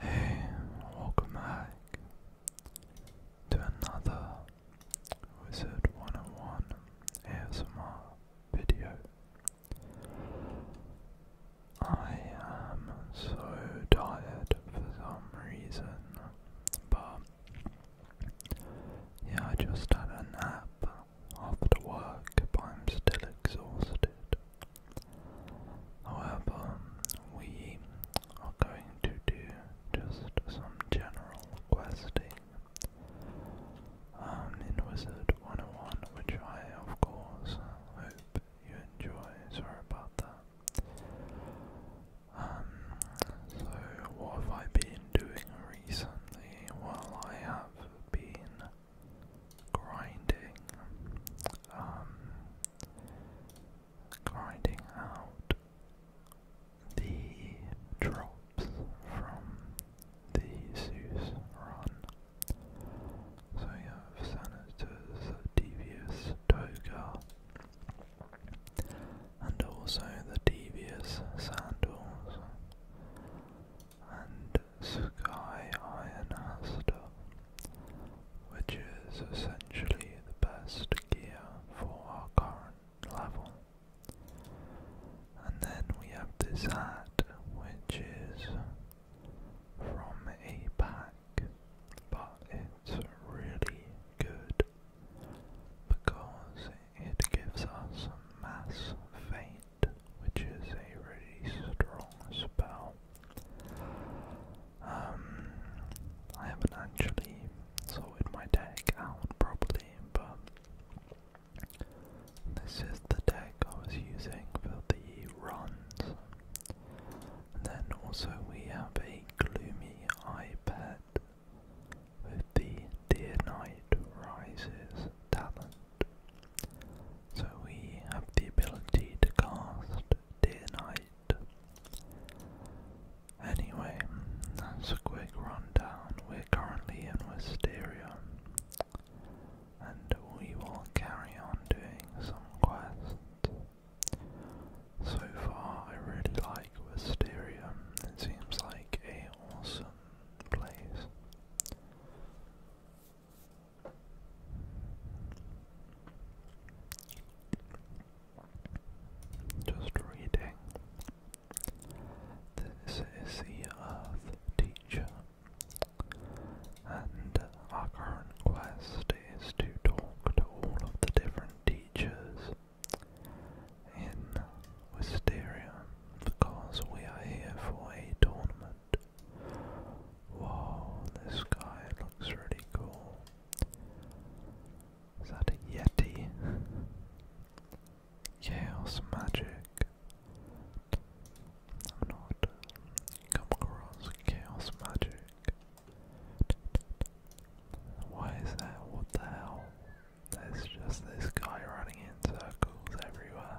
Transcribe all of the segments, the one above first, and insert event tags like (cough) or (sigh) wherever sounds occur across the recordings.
Hey, welcome back to another Wizard 101 ASMR video. I am so tired for some reason, but yeah, I just had a nap after work, but I'm still exhausted. However, we are going to do just some general questing um, in Wizard 101, which I, of course, hope you enjoy. Sorry about that. Um, so, what have I been doing recently? Well, I have been grinding, um, grinding out the drops from the Zeus run. So you have Senators, Devious, Toga, and also the Devious Sandals and Sky Iron Aster, which is essentially the best gear for our current level. And then we have this hat, which is from a pack, but it's really good because it gives us mass feign which is a really strong spell. Um, I haven't actually sorted my deck out properly, but this is the deck I was using for the runs. then also we have a gloomy eye with the Dear Night Rises talent. So we have the ability to cast Day Night. Anyway, that's a quick rundown. We're currently in Wisteria, and we will carry on doing some quests. So far, I really like Wisteria. It seems like a awesome place. Just reading. This is the Earth Teacher, and our current quest is to talk to all of the different teachers in Wisteria because we are here for a tournament. Whoa, this guy looks really cool. Is that a Yeti? (laughs) Chaos magic. I've not come across chaos magic. Why is that? What the hell? There's just this guy running in circles everywhere.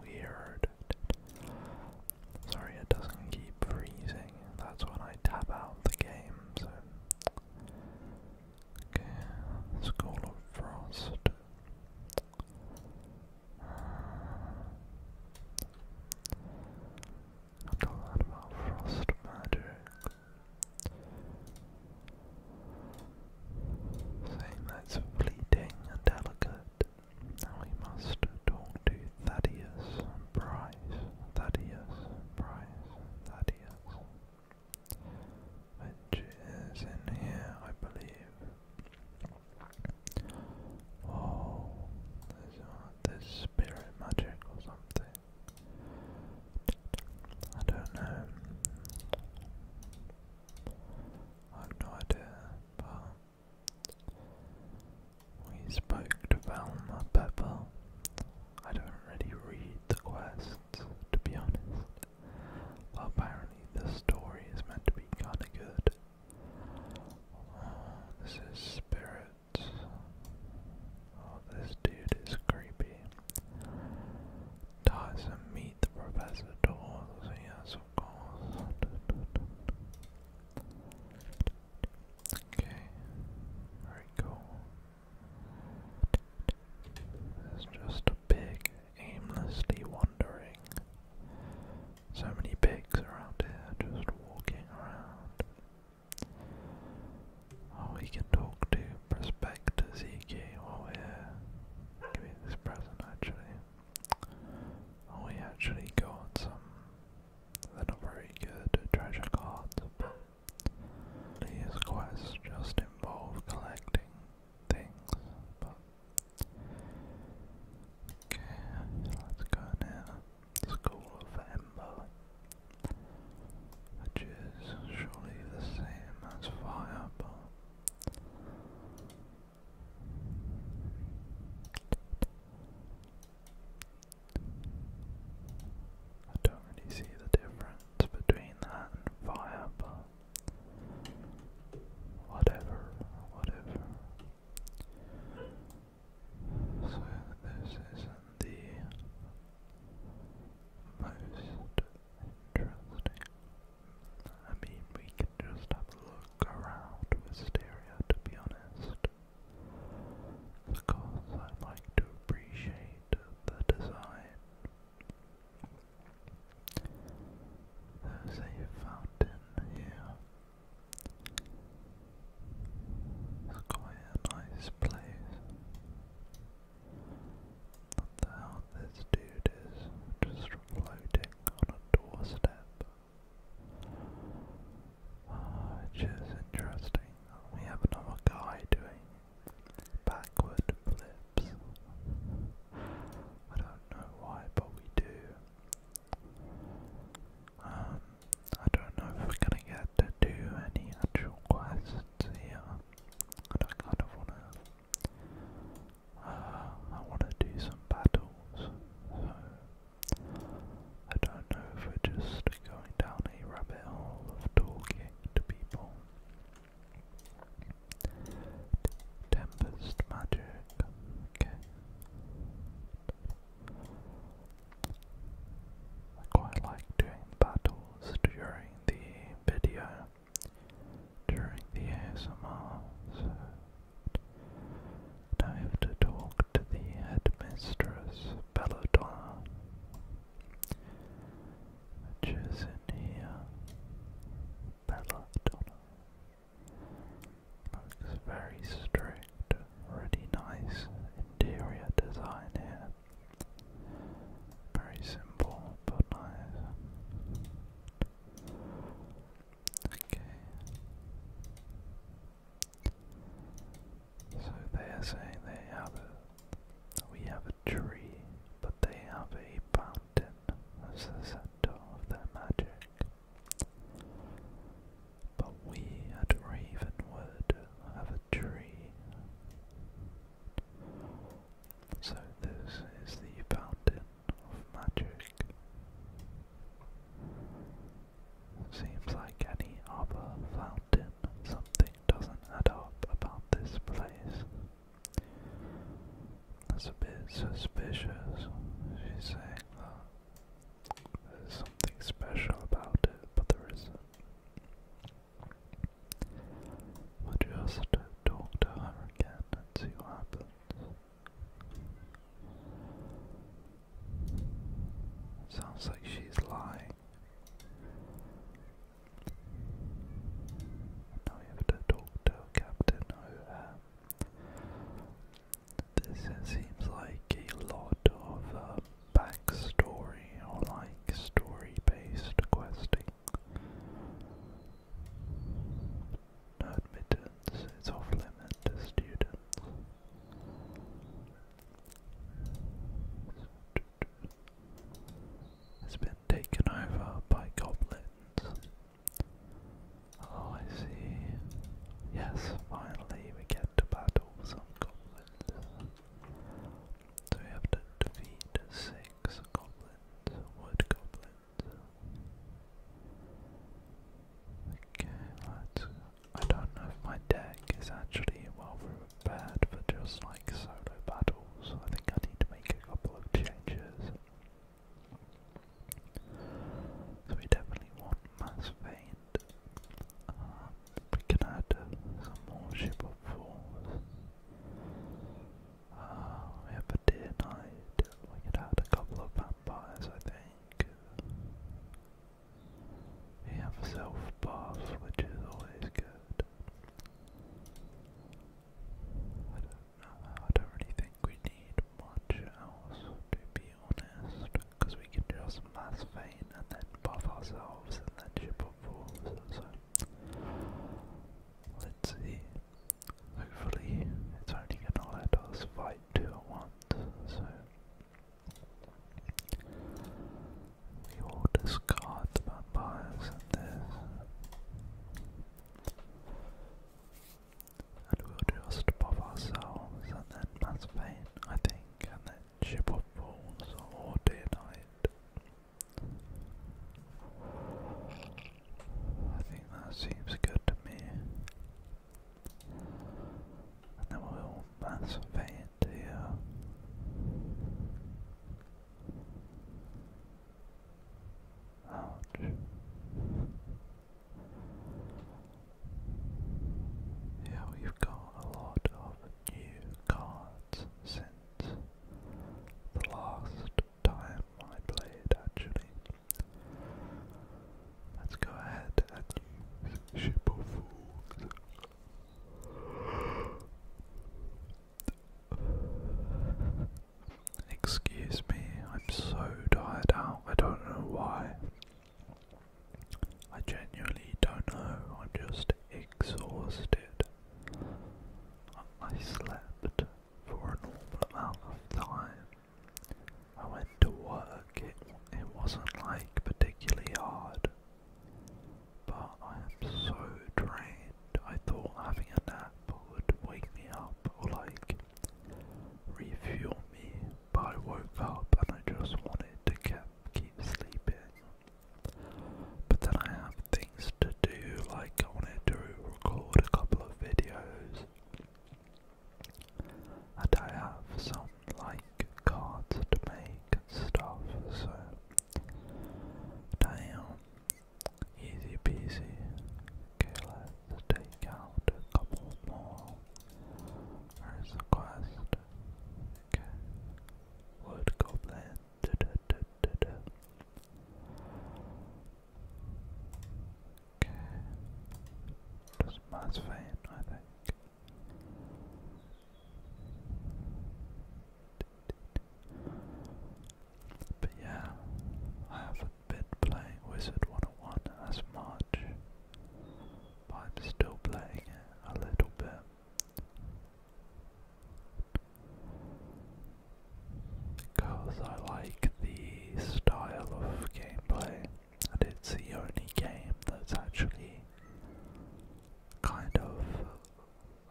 Weird. Sorry, it doesn't keep freezing. That's when I tap out the game, so. Okay, School of Frost. Uh, a lot about frost magic saying that's fleeting and delicate. we must talk to Thaddeus Price. Thaddeus Price. Thaddeus. Which is in here, I believe. Oh, there's, uh, spirit magic or something. I don't know. I have no idea, but we spoke to Velma Pepper. I don't really read the quests, to be honest. apparently the story is meant to be kinda good. Oh, this is Spirit. Oh, this dude is creepy. Doesn't meet the professor doors, yes of course. Okay, very cool. There's just a pig aimlessly wandering. So many pigs around here just walking around. Oh, we can talk to Prospector ZK while we this present actually. we actually got some. not very good treasure cards, but these quests just involve collecting things. But okay, let's go now. School of Ember, which is surely the same as fire, I don't really see the difference between that and fire, but whatever, whatever. So this isn't the most Interesting. I mean, we can just have a look around Wisteria, to be honest. Because I like to appreciate the design. There's a fountain here. It's quite a nice place. Now this dude is just floating on a doorstep. which ah, is interesting. We have another guy doing backward flips. I don't know why, but we do. Um, I don't know if we're gonna get to do any actual quests here. And I kind of wanna uh, I want to do some battles, so I don't know if we're just going down a rabbit hole of talking to people. Tempest magic, I quite like doing battles during the video during the ASMR, I have to talk to the headmistress, Belladonna, which in here. Belladonna. Looks very strict, really nice interior design here. Very simple, but nice. Okay. So they are saying they have we have a tree, but they have a fountain as the center of their magic. But we at Ravenwood have a tree. So this is the fountain of magic. Seems like any other fountain, something doesn't add up about this place. That's a suspicious. She's saying there's something special about it, but there isn't. We'll just talk to her again and see what happens. Sounds like she's lying. Now we have to talk to Captain O'Hare. This seems like a lot of uh, backstory or like story based questing no admittance is off limit to students. It's been taken over by goblins. Oh, I see. Yes, finally we get to battle some goblins. So we have to defeat six goblins, wood goblins. Okay, let I don't know if my deck is actually well prepared for just like solo battles. I think I need to make a couple of changes. So we definitely want mass feint. Um, we can add some more ship of force. Um, we have a deer night. We could add a couple of vampires, I think. We have a self buff, which is always good. I don't know, I don't really think we need much else, to be honest, because we can just mass feign and then buff ourselves and then ship up walls, so Let's see. Hopefully, it's only gonna let us fight two at once, so. We will discard the vampires and this. And we'll just pop ourselves and then mass pain, I think, and then ship of fools or day night. I think that seems good to me. And we'll massivate into here. Ouch. Yeah, we've got a lot of new cards since the last time I played actually. Let's go ahead and Ship of Fools. Excuse me, I'm so tired out, I don't know why. I genuinely don't know, I'm just exhausted. I slept for an awful amount of time. I went to work, it, it wasn't like particularly hard. But I am so drained, I thought having a nap would wake me up or like refuel me, but I woke up and I just wanted to keep, keep sleeping. But then I have things to do, like I wanted to record a couple of videos. And I have some, like, cards to make and stuff, so... Damn. Easy peasy. Okay, let's take out a couple more. Where's quest? Okay. Wood Goblin. Okay. Just mass vein, I think. But yeah, I haven't been playing Wizard 101 as much, but I'm still playing it a little bit. Because I like the style of gameplay, and it's the only game that's actually kind of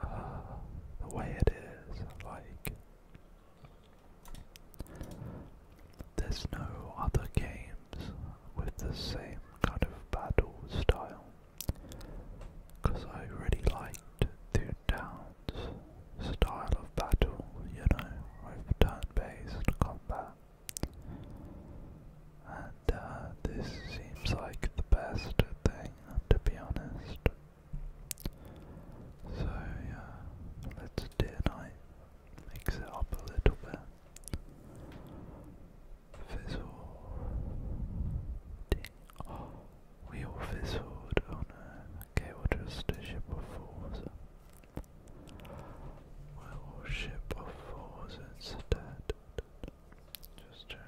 uh, the way it is. Like, there's no other games with the same kind of battle style. Because I really liked the style of battle, you know, with turn based combat. And uh, this seems like the best thing, to be honest. So, yeah, let's Deer Knight mix it up a little bit. Fizzle, we all fizzled. on a Okay, ship of fours. ship of fours instead. Just check.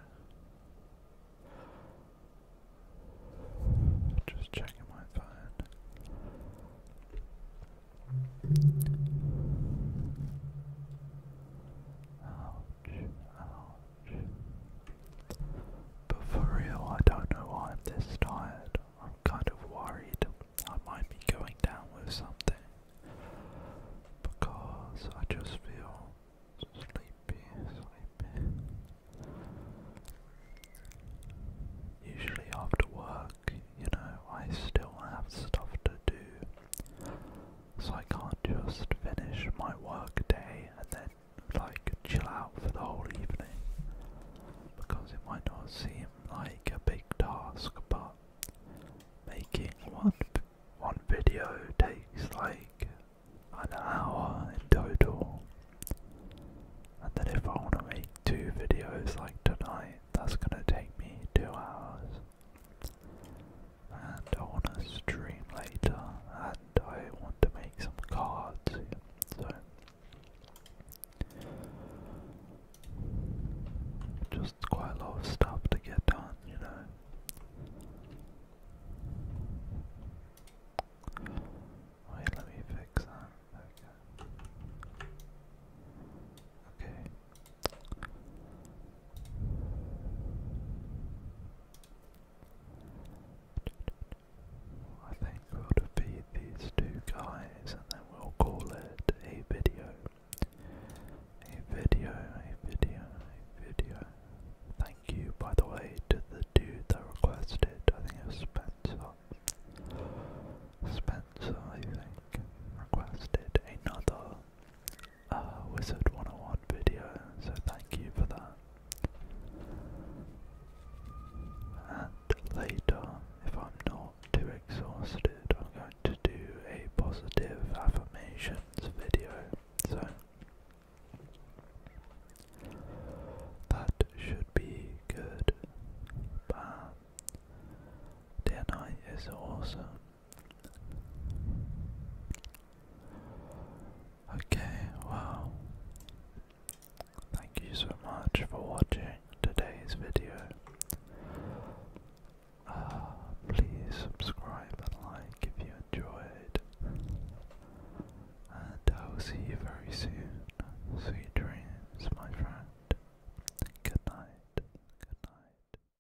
Just checking my phone. Oh, but for real, I don't know why I'm this tired. I'm kind of worried I might be going down with something. Because I just feel sleepy, sleepy. Usually after work, you know, I still have stuff to do so I can't just finish my work day and then like chill out for the whole evening because it might not seem like a big task but making one one video takes like an hour in total and then if I want to make two videos like tonight that's gonna take me two hours and I want to stream later and I want to make some cards so just quite a lot of stuff to get done you know wait let me fix that okay okay I think we'll defeat these two guys and then we'll call it a video. A video, a video, a video. Thank you, by the way, to the dude that requested. I think it Spencer. Spencer, I think, requested another uh, Wizard 101 video, so thank you for that. And later, if I'm not too exhausted, I'm going to do a positive affirmations video. So that should be good. But their is awesome. Okay, wow. Thank you so much for watching today's video. Uh, please subscribe and like if you enjoyed. And I will see you very soon. Sweet dreams, my friend. Good night. Good night.